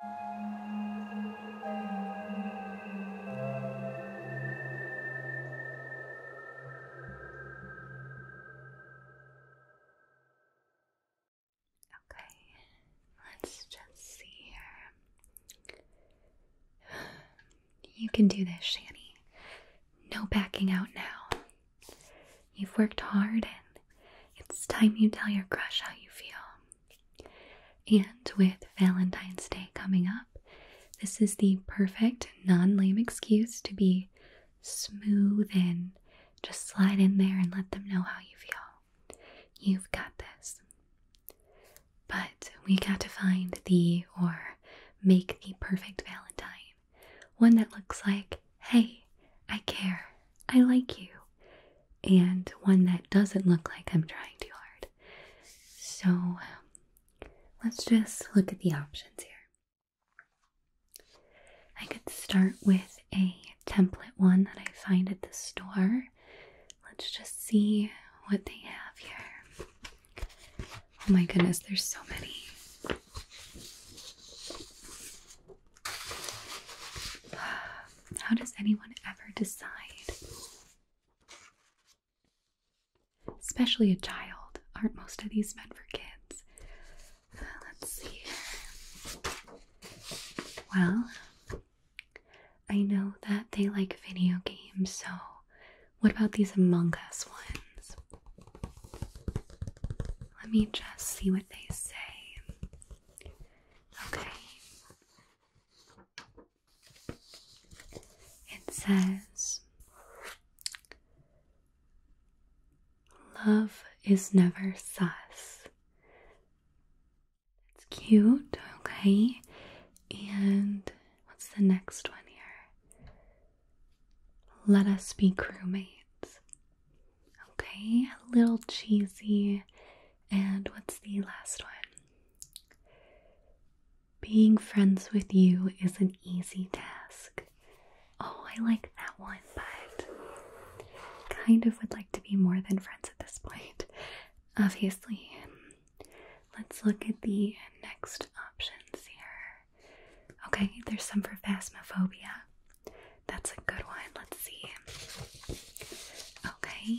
Okay, let's just see here. You can do this, Shani. No backing out now. You've worked hard and it's time you tell your crush how you feel. And with Valentine's Day coming up, this is the perfect non lame excuse to be smooth and just slide in there and let them know how you feel. You've got this. But we got to find the or make the perfect Valentine. One that looks like, hey, I care, I like you, and one that doesn't look like I'm trying too hard. So um, let's just look at the options here. I could start with a template one that I find at the store. Let's just see what they have here. Oh my goodness, there's so many. How does anyone ever decide? Especially a child. Aren't most of these meant for kids? let's see Well, I know that they like video games, so what about these Among Us ones? Let me just see what they say. Okay. It says, Love is never sus. It's cute, okay. And what's the next one here? Let us be crewmates. Okay, a little cheesy, and what's the last one? Being friends with you is an easy task. Oh, I like that one, but kind of would like to be more than friends at this point. Obviously. Let's look at the next options here. Okay, there's some for phasmophobia. That's a good one. Let's see okay?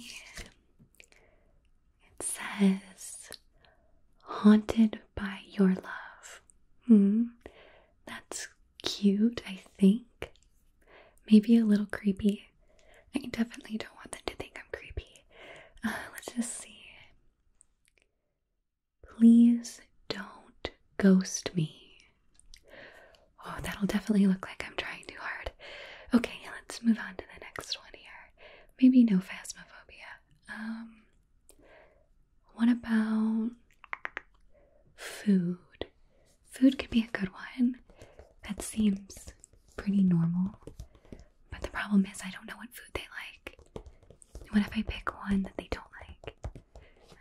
It says, Haunted by Your Love. Hmm, that's cute, I think. Maybe a little creepy. I definitely don't want them to think I'm creepy. Uh, let's just see. Please don't ghost me. Oh, that'll definitely look like I'm trying too hard. Okay, let's move on to the next one here. Maybe no phasmophobia. Um, what about food? Food could be a good one. That seems pretty normal. But the problem is, I don't know what food they like. What if I pick one that they don't like?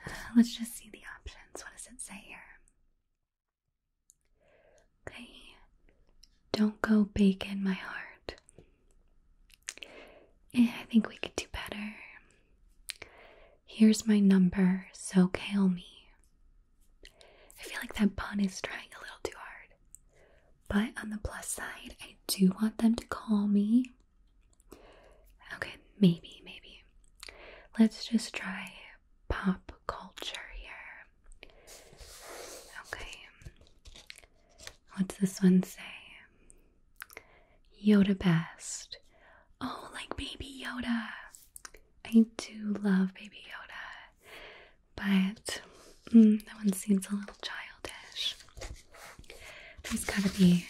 Uh, let's just see the options. What does it say here? Okay, don't go bacon, my heart. Eh, I think we could do better. Here's my number, so call me. I feel like that pun is trying a little too hard. But on the plus side, I do want them to call me. Okay, maybe, maybe. Let's just try pop culture here. Okay. What's this one say? Yoda best. Oh, like Baby Yoda. I do love Baby Yoda, but mm, that one seems a little childish. There's gotta be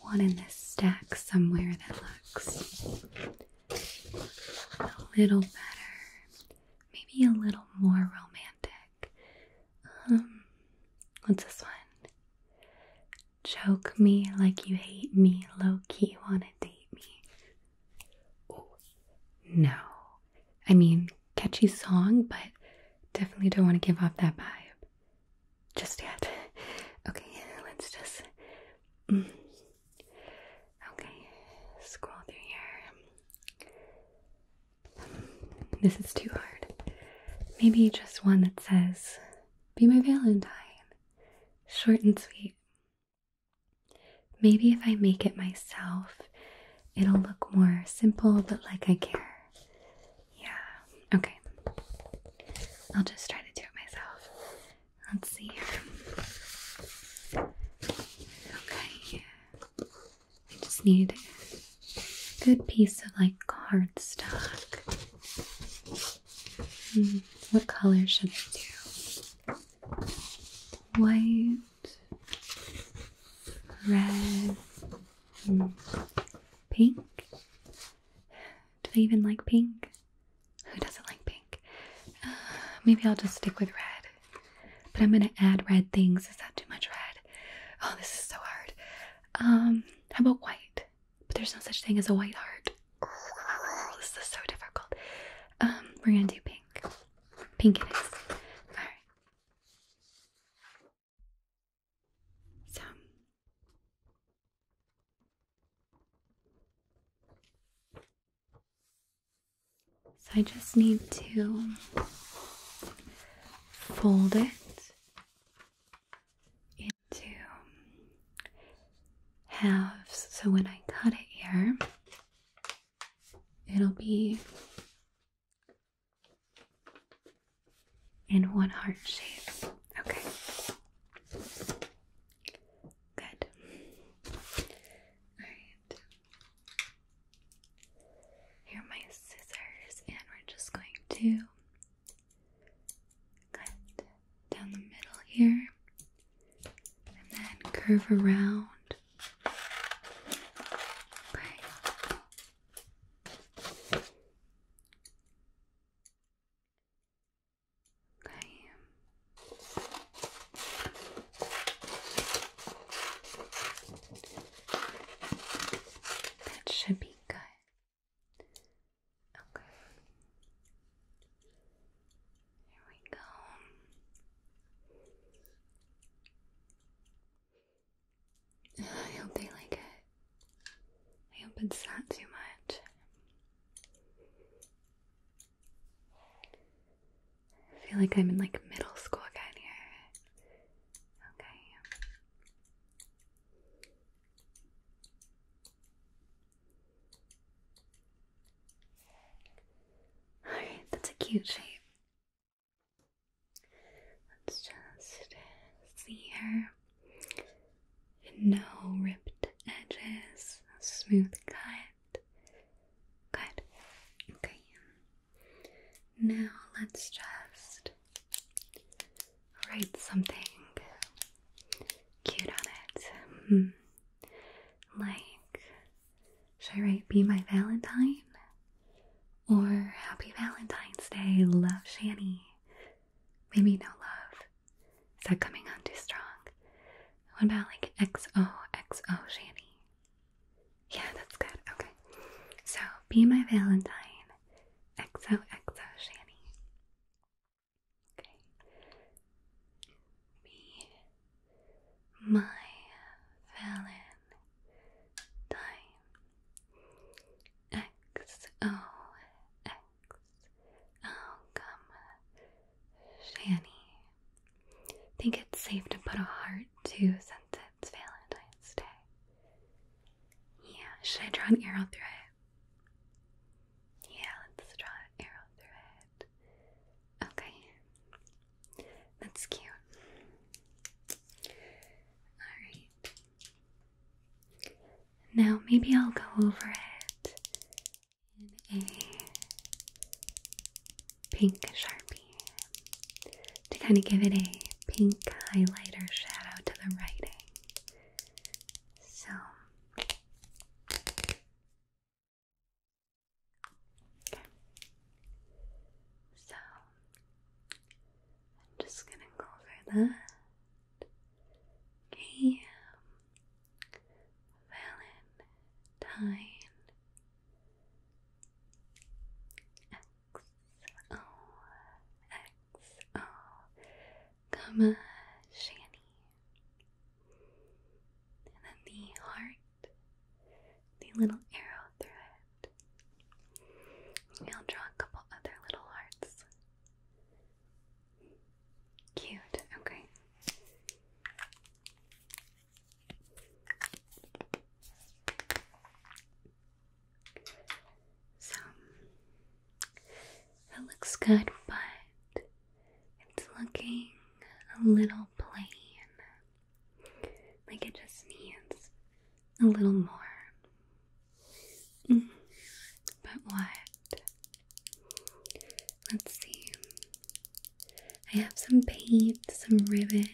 one in this stack somewhere that looks a little better, maybe a little more romantic. Um, what's this one? Choke me like you hate me, low key wanna date me. Oh, no. I mean, catchy song, but definitely don't want to give off that vibe just yet. Okay, let's just. Mm. Okay, scroll through here. this is too hard. Maybe just one that says, Be my Valentine. Short and sweet. Maybe if I make it myself, it'll look more simple but like I care. Yeah, okay. I'll just try to do it myself. Let's see. Okay. I just need a good piece of like cardstock. Hmm, what color should I do? White, red, hmm, pink. Do they even like pink? Who doesn't like pink? Uh, maybe I'll just stick with red. But I'm gonna add red things. Is that too much red? Oh, this is so hard. Um, how about white? But there's no such thing as a white heart. this is so difficult. Um, we're gonna do pink. Pink it is. Alright. So so I just need to fold it into halves so when I cut it here, it'll be in one heart shape. Okay. Good. Alright. Here are my scissors, and we're just going to cut down the middle here and then curve around. That should be good. Okay. Here we go. I hope they like it. I hope it's not too much. I feel like I'm in like middle school again here. Okay. Alright, that's a cute shape. Let's just see here. No ripped edges, smooth cut. Good. Okay. Now let's just write something cute on it. Hmm. Like, should I write Be My Valentine? Or Happy Valentine's Day, Love Shani"? Maybe no love. Is that coming on too strong? What about like XOXO Shady? Yeah, that's good. Okay. So, Be My Valentine, XOXO Shady. Okay. Be My Valentine, XOXO Oh, come, Shanny. Think it's safe to put a heart too since it's Valentine's Day. Yeah, should I draw an arrow through it? Yeah, let's draw an arrow through it. Okay. That's cute. Alright. Now maybe I'll go over it in a pink Sharpie to kind of give it a pink highlighter shadow to the writing. So So I'm just gonna go over that. Okay. Valentine X O X O comma Shanny. And then the heart, the little arrow through it. I'll draw a couple other little hearts. Cute, okay. So that looks good, but it's looking a little plain. Like it just needs a little more. Mm. But what Let's see. I have some paint, some ribbon,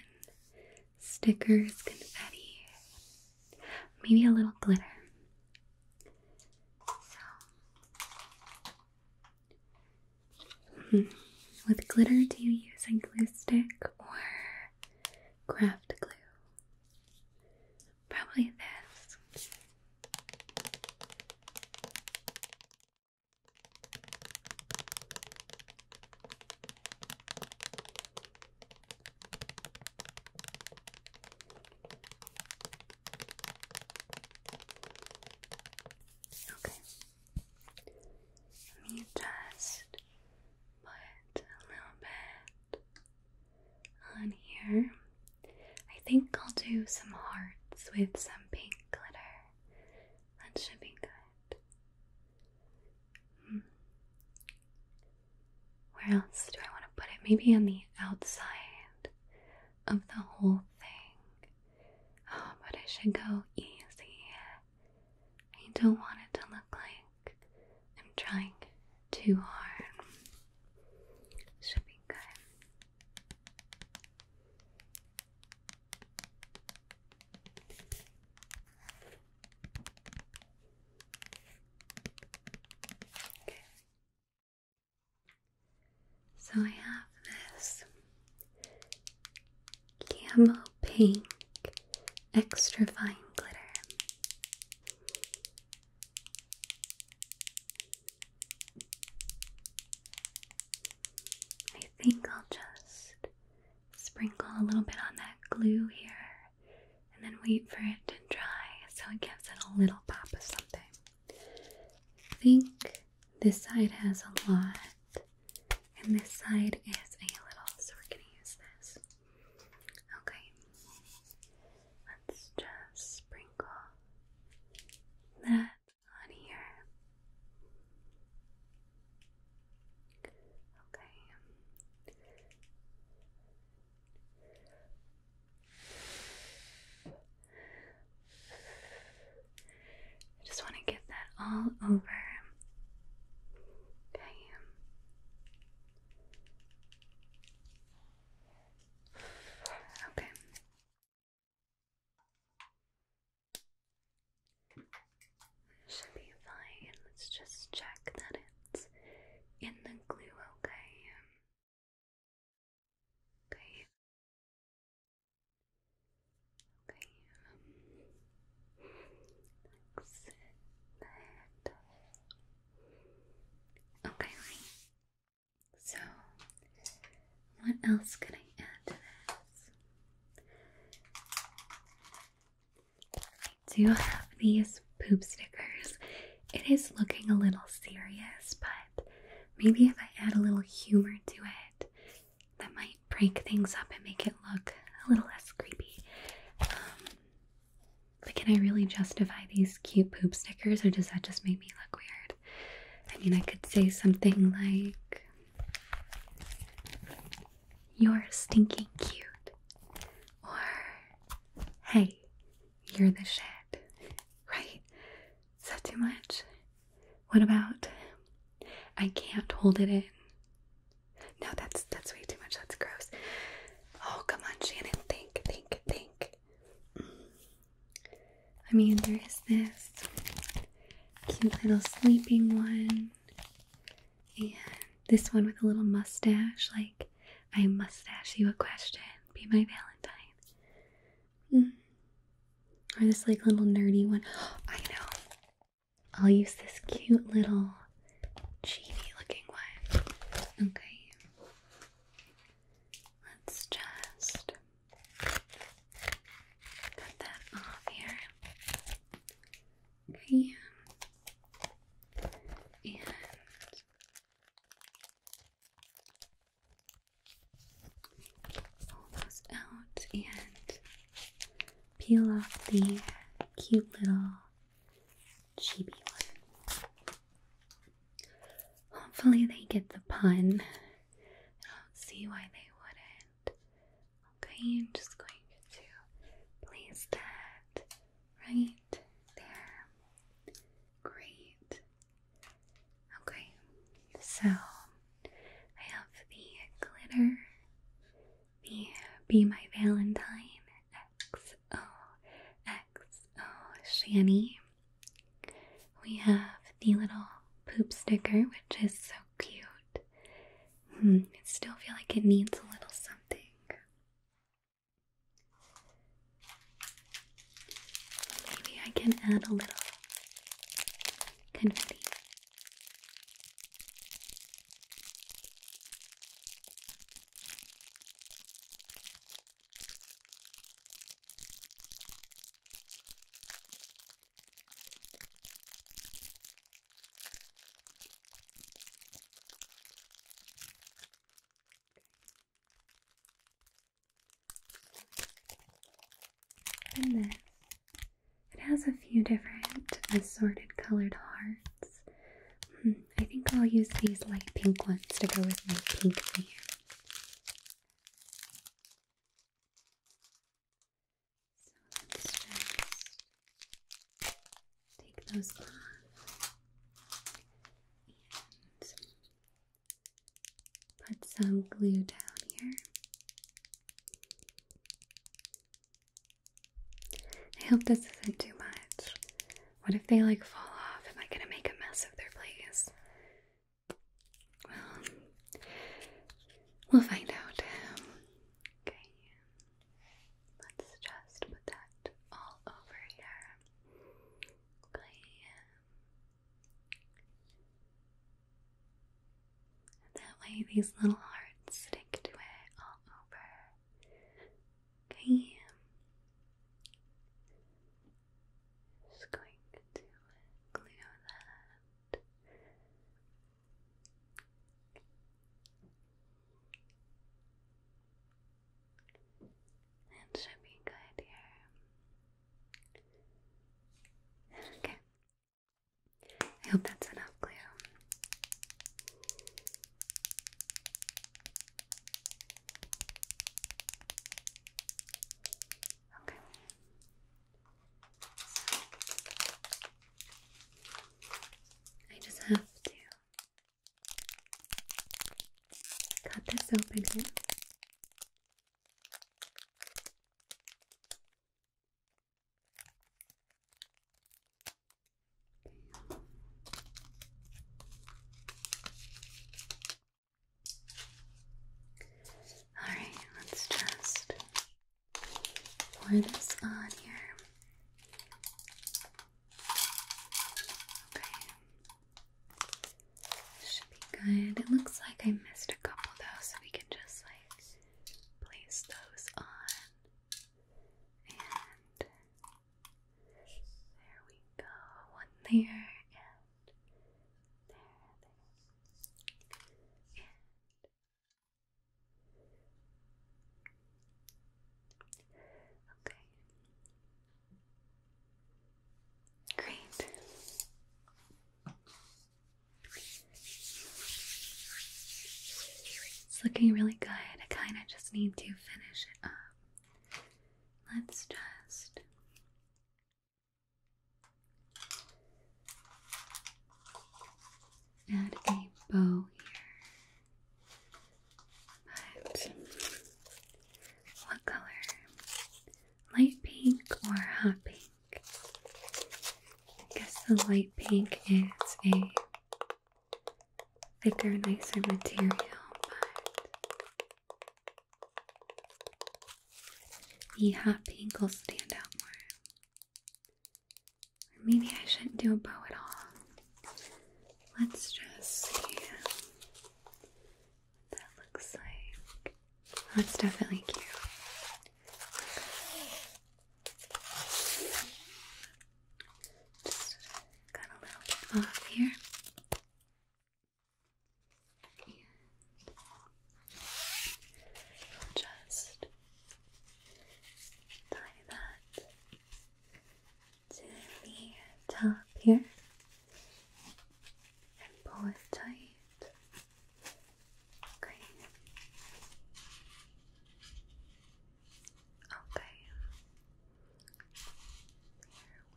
stickers, confetti, maybe a little glitter. So, mm. glitter do you use? A glue stick or craft glue? Probably this. Okay. Let me just put a little bit on here I think I'll do some hearts with some pink glitter. That should be good. Hmm. Where else do I want to put it? Maybe on the outside of the whole thing. Oh, but I should go easy. I don't want it to look like I'm trying too hard. Should be good. So I have this camo pink extra fine glitter. I think I'll just sprinkle a little bit on that glue here and then wait for it to dry so it gives it a little pop of something. I think this side has a lot and this side is a little, so we're gonna use this. Okay, let's just sprinkle that on here. Okay. I just want to get that all over. Okay. Okay. Should be fine. Let's just check that it's in the glue, okay? Okay. Okay. Um, okay, so, what else can I add to this? I do have these poop stickers. It is looking a little serious, but maybe if I add a little humor to it, that might break things up and make it look a little less creepy. Um, but can I really justify these cute poop stickers, or does that just make me look weird? I mean, I could say something like, You're stinking cute. Or, Hey, you're the shit. Right? Is that too much? What about, I can't hold it in? No, that's that's way too much. That's gross. Oh, come on, Shannon. Think, think, think. Mm, I mean, there is this cute little sleeping one, and this one with a little mustache. Like, I mustache you a question, be my Valentine. Mm-hmm. Or this like little nerdy one. I know. I'll use this cute little cheesy looking one. Okay. Let's just Cut that off here. Okay. And pull those out and peel off the cute little chibi one. Hopefully, they get the pun. I don't see why they wouldn't. Okay, I'm just going to place that right there. Great. Okay, so I have the glitter, Be My Valentine XOXO Shanny we have the little poop sticker, which is so cute. Hmm, I still feel like it needs a little something. Maybe I can add a little confetti. And this. It has a few different assorted colored hearts. Hmm, I think I'll use these light pink ones to go with my pink theme. So let's just take those off and put some glue down here. I hope this isn't too much. What if they like fall off? Am I gonna make a mess of their place? Well, we'll find out. okay, let's just put that all over here. Okay. that way, these little hearts stick to it all over. Okay. Just going to clear that. It should be good here. Okay. I hope that's enough glue. Okay. I just have to cut this open here. Alright, let's just pour this on here. Okay. should be good. It looks like I missed a couple though, so we can just like place those on. And there we go. One there okay. Great. It's looking really good. I kind of just need to finish it up. Let's just Add a bow here. But what color? Light pink or hot pink? I guess the light pink is a thicker, nicer material, but the hot pink will stand out more. Or maybe I shouldn't do a bow at all. Let's just see what that looks like. Oh, it's definitely cute. Just got a little bit off here just tie that to the top here and pull it tight. Okay. Okay.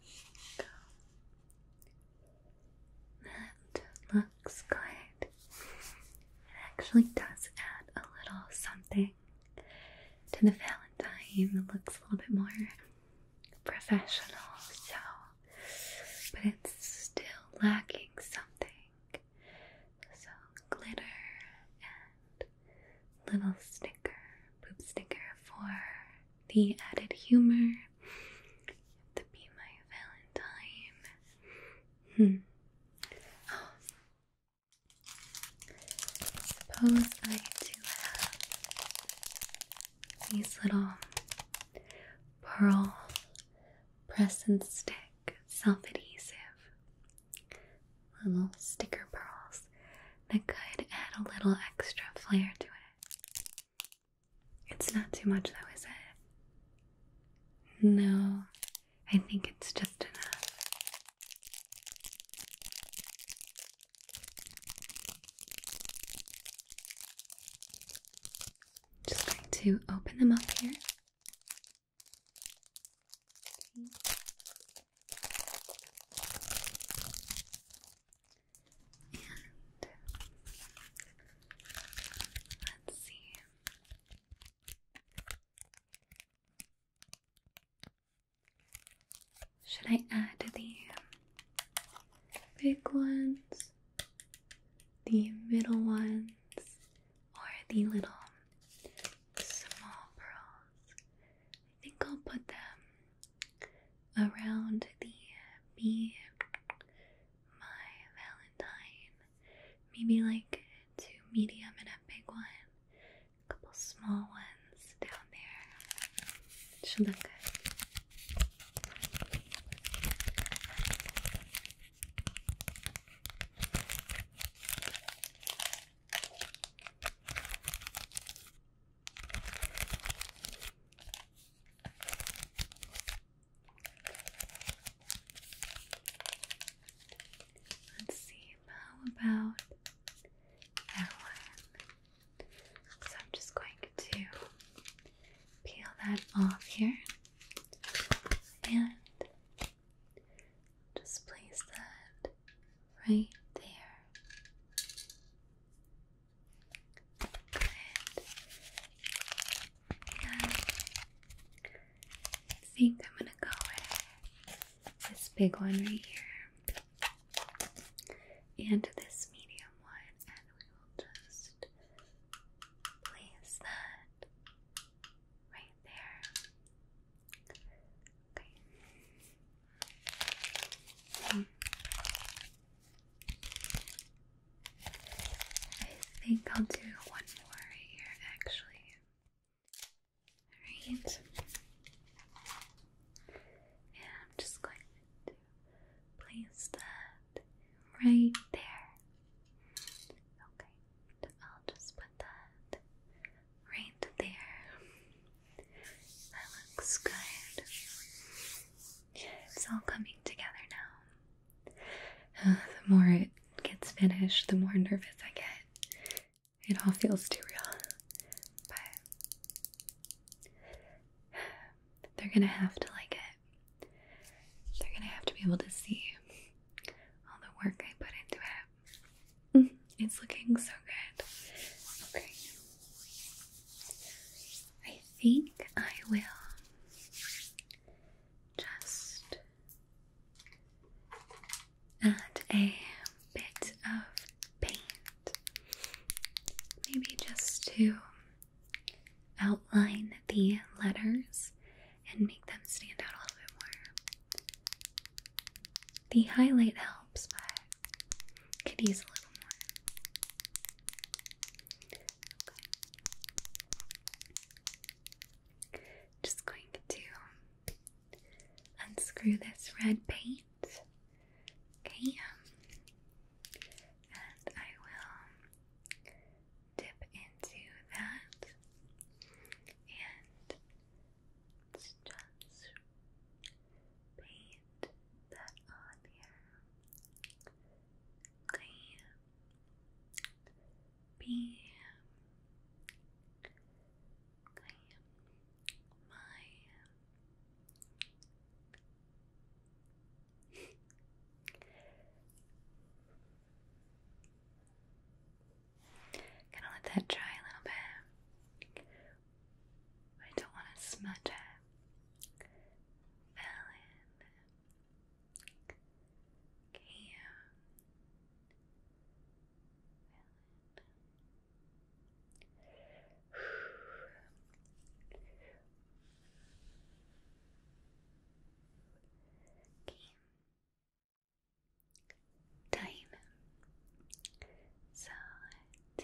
Here we go. That looks good. It actually does add a little something to the Valentine. It looks a little bit more professional, so but it's still lacking something. So glitter and little sticker, poop sticker for the added humor. To be my Valentine. Hmm. I do have these little pearl press and stick self adhesive little sticker pearls that could add a little extra flair to it. It's not too much though, is it? No, I think it's just enough. Just going to open them up here let's see. Should I add the big ones, the middle ones, or the little small pearls? I think I'll put them around the bee my Valentine. Maybe like two medium and a big one. A couple small ones down there. should look good. Let's see, how about that one? So I'm just going to peel that off here and just place that right there. I think I'm gonna go with this big one right here and this medium one, and we will just place that right there. Okay. Hmm. I think I'll do one more here, actually. Alright. And I'm just going to place that right there. Okay, I'll just put that right there. That looks good. It's all coming together now. Uh, the more it gets finished, the more nervous I get. It all feels too real. But they're gonna have to like it. They're gonna have to be able to see all the work I put into it. Mm-hmm. It's looking so good. Okay. I think I will just add a bit of paint, maybe just to outline the letters and make them stand out a little bit more. The highlight helps, but could use a little more. Just going to unscrew this red paint. Okay. Um, and I will dip into that and just paint that on here. Okay be my Gonna let that dry a little bit. I don't want to smudge it. Okay. Okay. So the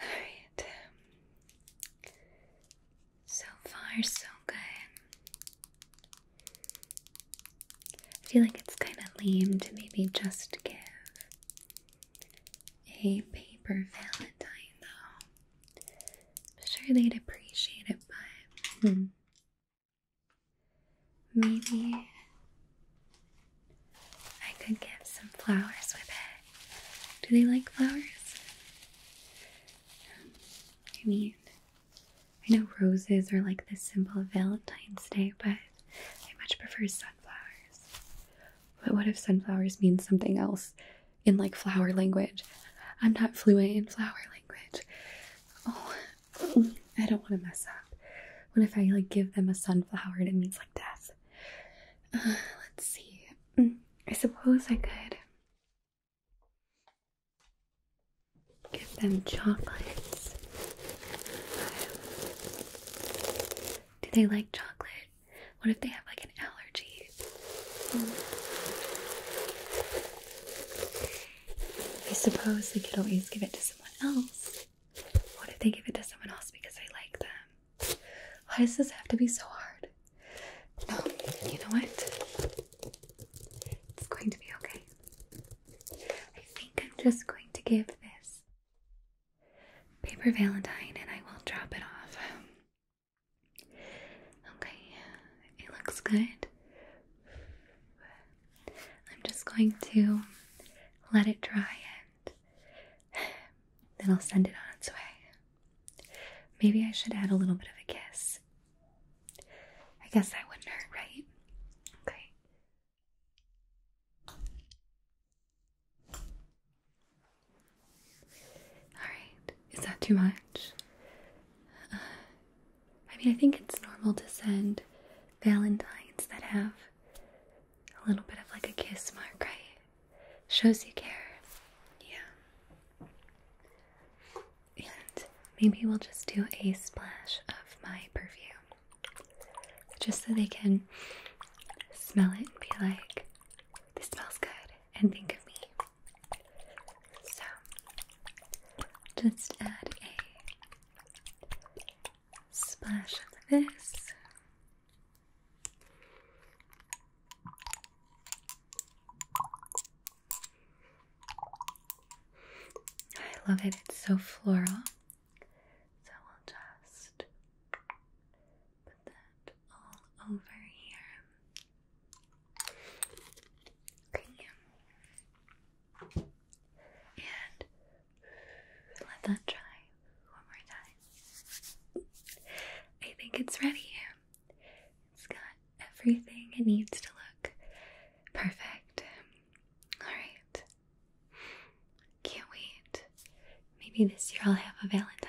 Alright. So far, so good. I feel like it's kind of lame to maybe just give a paper valentine, though. I'm sure they'd appreciate it, but hmm. maybe I could give some flowers with it. Do they like flowers? I mean, I know roses are like the symbol of Valentine's Day, but I much prefer sunflowers. But what if sunflowers mean something else in like flower language? I'm not fluent in flower language. Oh, I don't want to mess up. What if I like give them a sunflower and it means like death? Uh, let's see. Mm, I suppose I could give them chocolates. do they like chocolate? What if they have like an allergy? I suppose they could always give it to someone else. What if they give it to someone else because they like them? Why does this have to be so hard? No, you know what? It's going to be okay. I think I'm just going to give this paper valentine and I will drop it off. Okay, it looks good. I'm just going to let it dry then I'll send it on its way. Maybe I should add a little bit of a kiss. I guess that wouldn't hurt, right? Okay. Alright, is that too much? I mean, I think it's normal to send valentines that have a little bit of like a kiss mark, right? Shows you care. Yeah. And maybe we'll just do a splash of my perfume. Just so they can smell it and be like, this smells good, and think of me. So, just add a splash of this. I love it, it's so floral. So we'll just put that all over here. And let that dry one more time. I think it's ready. It's got everything it needs to look perfect. Alright. Can't wait. Maybe this year I'll have a Valentine.